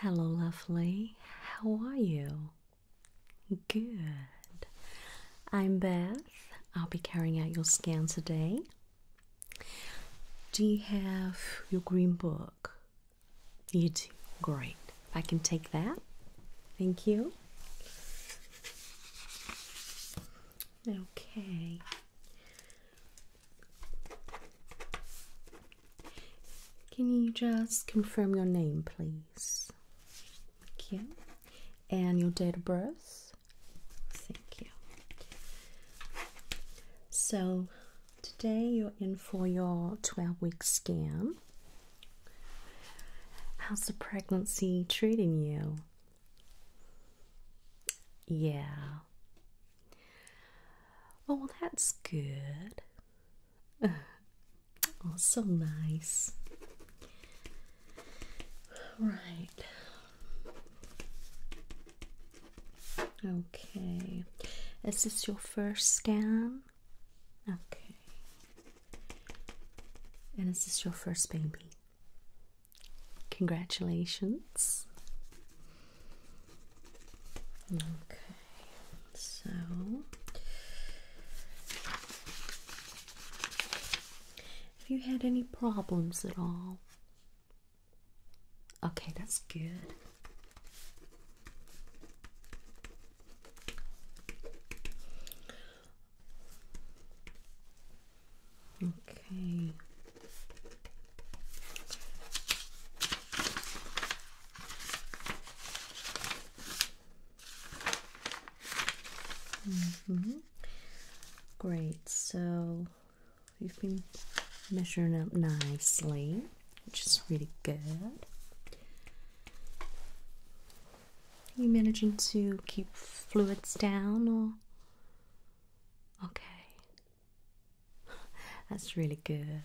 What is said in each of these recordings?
Hello, lovely. How are you? Good. I'm Beth. I'll be carrying out your scan today. Do you have your green book? You do. Great. I can take that. Thank you. Okay. Can you just confirm your name, please? Thank you. And your date of birth? Thank you. So, today you're in for your 12 week scan. How's the pregnancy treating you? Yeah, Oh, that's good. Oh, so nice. Right. Okay. Is this your first scan? Okay. And is this your first baby? Congratulations. Okay, so have you had any problems at all? Okay, that's good. Okay. Mm-hmm. Great, so you've been measuring up nicely, which is really good. Are you managing to keep fluids down or? Okay, that's really good.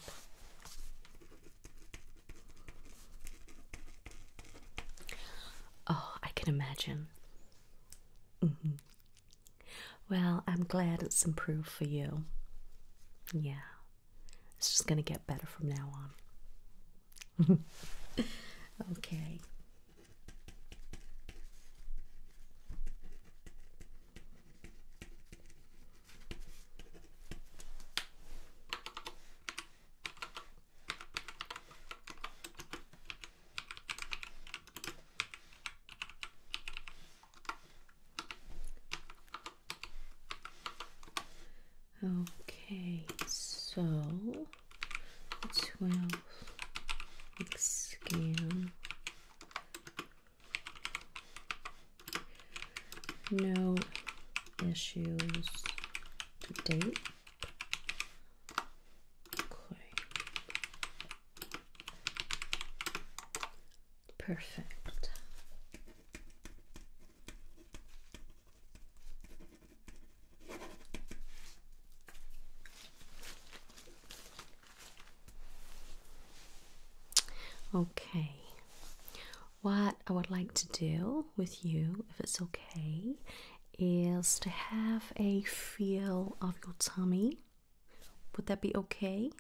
Oh, I can imagine. Mm-hmm. Well, I'm glad it's improved for you. Yeah, it's just gonna get better from now on. okay. Okay, so twelve. Scan no issues to date. Perfect. Okay, what I would like to do with you, if it's okay, is to have a feel of your tummy. Would that be okay?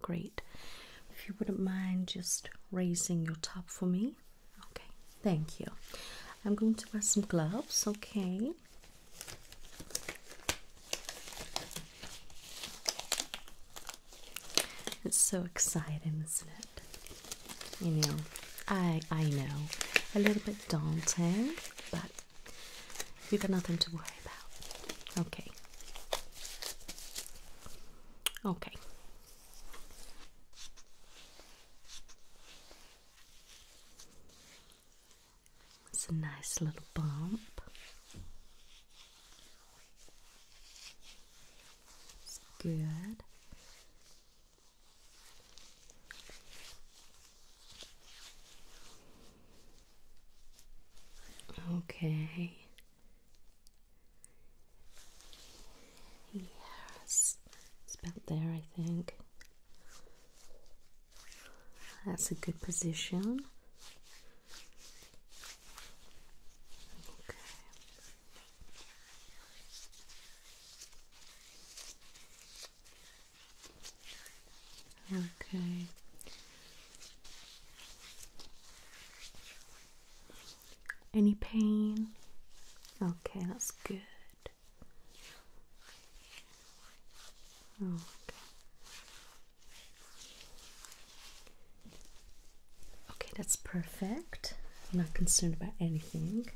Great. If you wouldn't mind just raising your top for me. Okay, thank you. I'm going to wear some gloves, okay? It's so exciting, isn't it? You know, I I know, a little bit daunting, but we've got nothing to worry about. Okay. Okay. It's a nice little bump. It's good. Okay. Yes. It's about there, I think. That's a good position. Okay. Okay. Any pain? Okay, that's good. Oh, okay. okay, that's perfect. I'm not concerned about anything.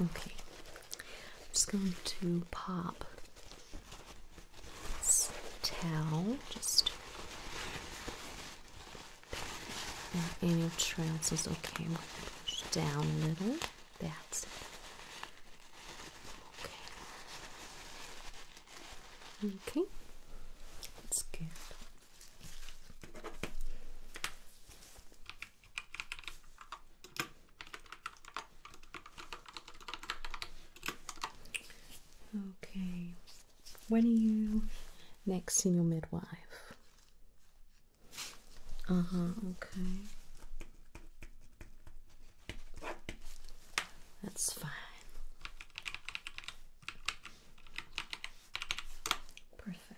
Okay, I'm just going to pop this towel just any trails okay. I'm gonna push down a little. That's it. Okay. Okay. That's good. Okay, when are you next seeing your midwife? Uh huh, okay. That's fine. Perfect.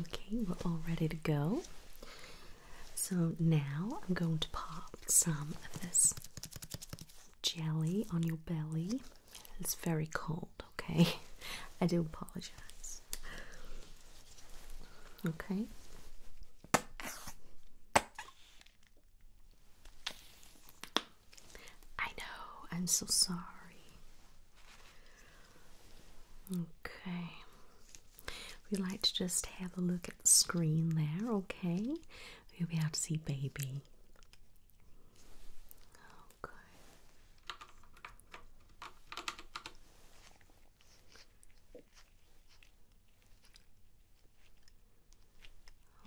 Okay, we're all ready to go. So now I'm going to pop some of this jelly on your belly. It's very cold okay. I do apologize. Okay. I know, I'm so sorry. Okay. We like to just have a look at the screen there, okay? we will be able to see baby. Oh, good.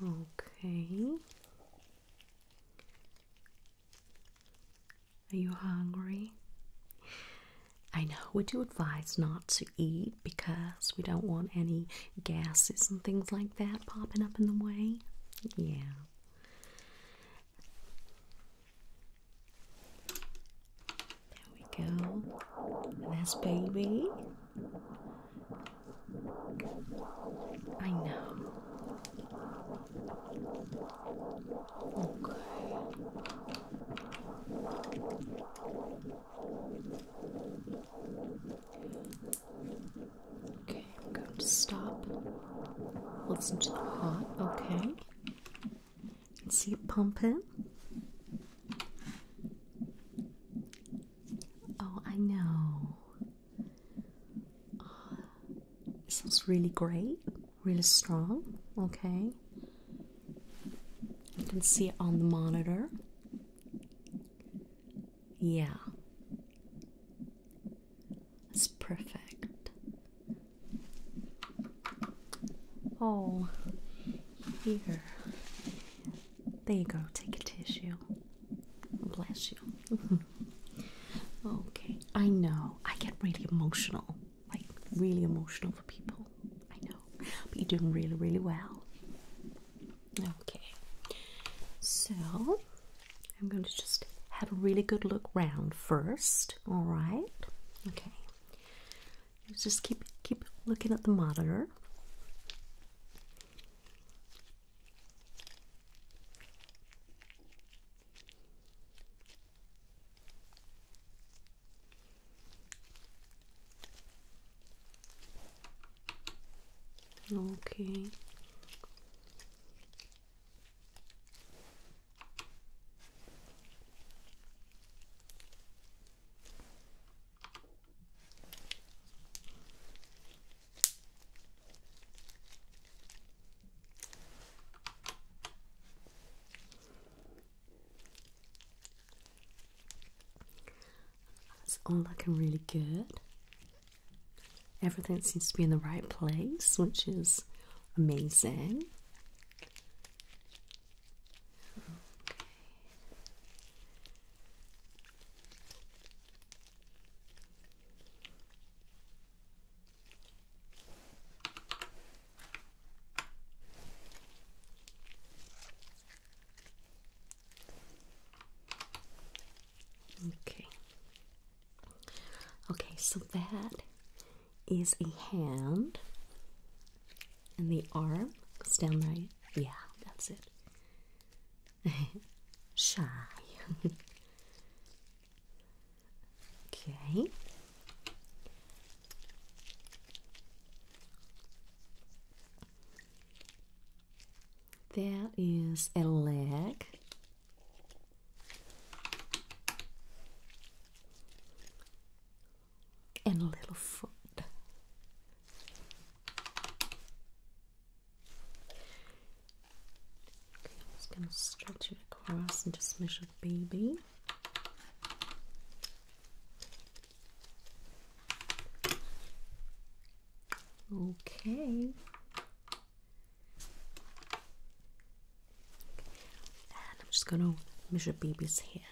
Okay. Are you hungry? I know we do advise not to eat because we don't want any gases and things like that popping up in the way. Yeah. There we go. That's baby. I know. Okay. Okay. I'm going to Stop. Listen to the heart. Okay. See it pumping. Oh, I know. Uh, it sounds really great, really strong. Okay. You can see it on the monitor. Yeah. It's perfect. Oh, here. There you go. Take a tissue. Bless you. okay, I know. I get really emotional. Like, really emotional for people. I know. But you're doing really, really well. Okay. So, I'm going to just have a really good look round first. All right. Okay. Let's just keep keep looking at the monitor. Okay. That's all looking really good. Everything seems to be in the right place, which is amazing. Okay. Okay, Okay, so that is a hand, and the arm goes down right. Yeah, that's it. Shy. okay. That is a leg and little foot. Okay, I'm just going to stretch it across and just measure baby. Okay. And I'm just going to measure baby's hand.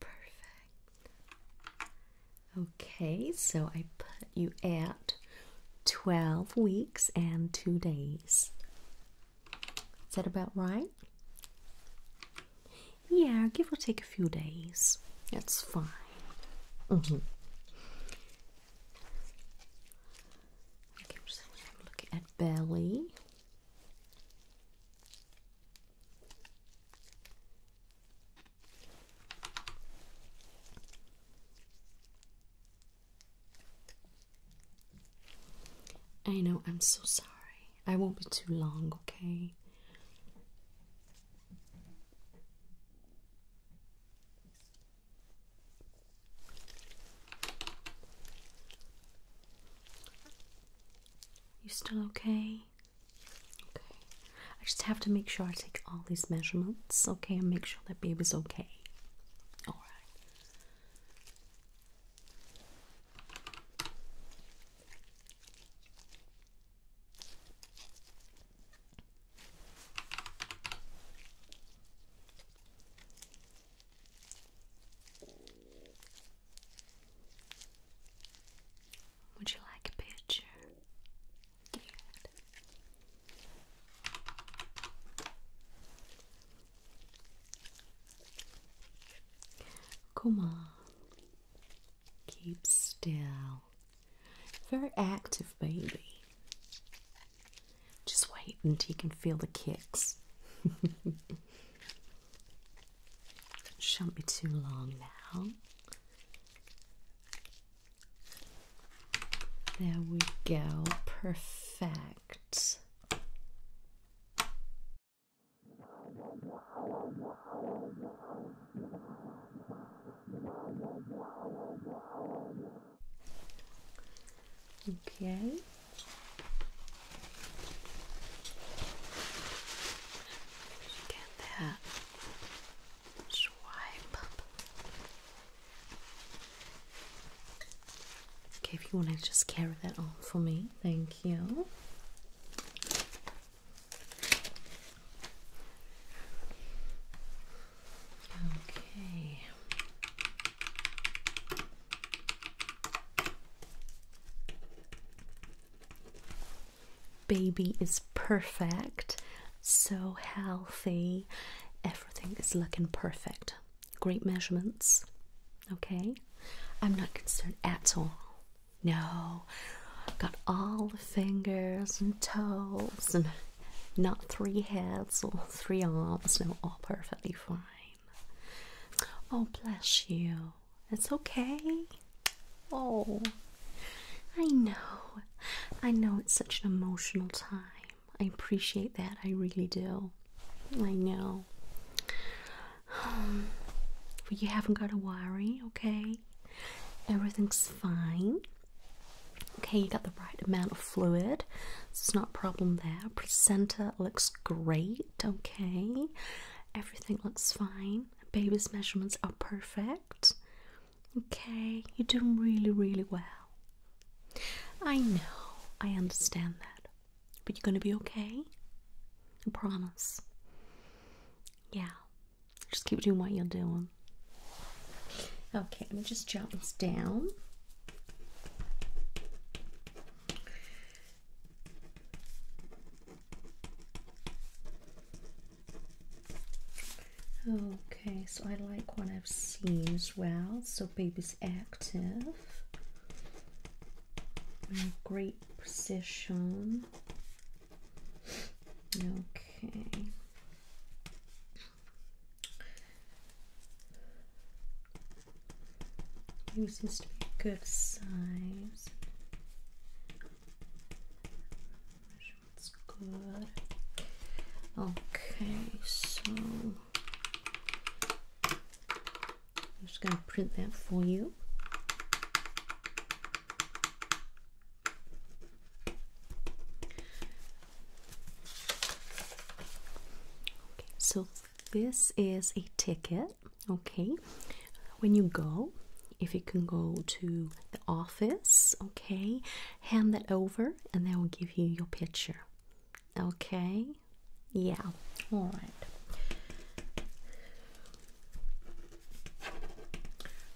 Perfect. Okay, so I put you at 12 weeks and 2 days. Is that about right? Yeah, give or take a few days. That's fine. Mm at belly. I know, I'm so sorry. I won't be too long, okay? You still okay? Okay. I just have to make sure I take all these measurements, okay, and make sure that baby's okay. Alright. Would you like a picture? Come on. Keep still. Very active, baby. Just wait until you can feel the kicks. Shouldn't be too long now. There we go. Perfect. Okay. Get that swipe Okay, if you want to just carry that on for me, thank you. Okay. Baby is perfect, so healthy, everything is looking perfect. Great measurements, okay? I'm not concerned at all. No, got all the fingers and toes, and not three heads or three arms, no, all perfectly fine. Oh, bless you. It's okay. Oh, I know. I know it's such an emotional time. I appreciate that. I really do. I know. but um, you haven't got to worry, okay? Everything's fine. Okay, you got the right amount of fluid. So it's not a problem there. Placenta looks great, okay? Everything looks fine. Baby's measurements are perfect. Okay, you're doing really, really well. I know, I understand that. But you're gonna be okay? I promise. Yeah, just keep doing what you're doing. Okay, let me just jot this down. Okay, so I like what I've seen as well. So baby's active. Mm, great position. Okay seems to be a good size. That's good. Okay, so I'm just gonna print that for you. Okay, so this is a ticket Okay, when you go, if you can go to the office, okay, hand that over and they will give you your picture. Okay, yeah, all right.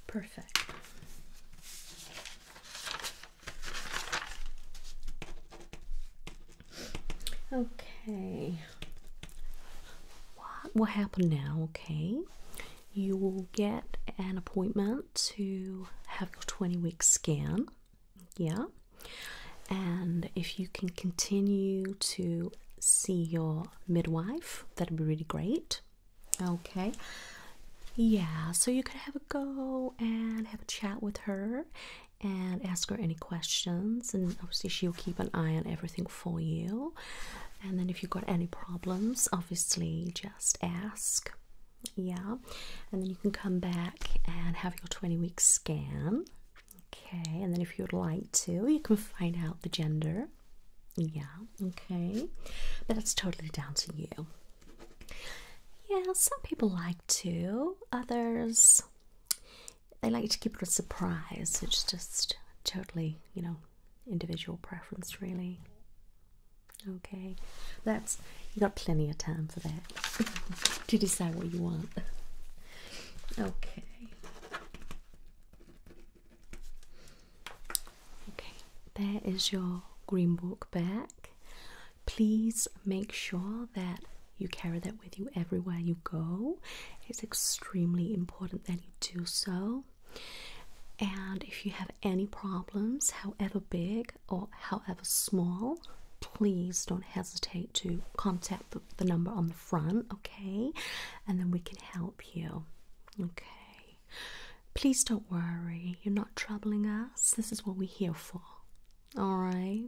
Perfect. Okay. What will happen now? Okay, you will get an appointment to have your twenty week scan. Yeah, and if you can continue to see your midwife, that'd be really great. Okay. Yeah, so you could have a go and have a chat with her and ask her any questions and obviously she'll keep an eye on everything for you and then if you've got any problems obviously just ask yeah and then you can come back and have your 20 week scan okay and then if you'd like to you can find out the gender yeah okay but that's totally down to you yeah some people like to others they like to keep it a surprise. It's just totally, you know, individual preference, really. Okay, that's you got plenty of time for that to decide what you want. Okay. Okay, there is your green book back please make sure that you carry that with you everywhere you go. It's extremely important that you do so. And if you have any problems, however big or however small, please don't hesitate to contact the, number on the front, okay? And then we can help you, okay? Please don't worry, you're not troubling us. This is what we're here for, all right?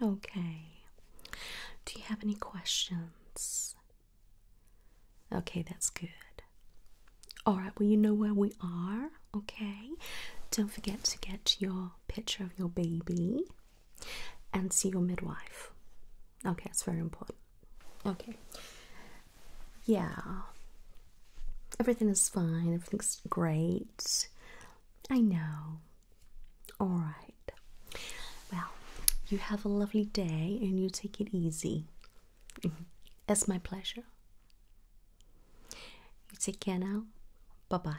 Okay. Do you have any questions? Okay, that's good. All right, well, you know where we are, okay? Don't forget to get your picture of your baby and see your midwife. Okay, that's very important. Okay. Yeah. Everything is fine, everything's great. I know. Alright. Well, you have a lovely day and you take it easy. it's mm-hmm. my pleasure. You take care now. Bye bye.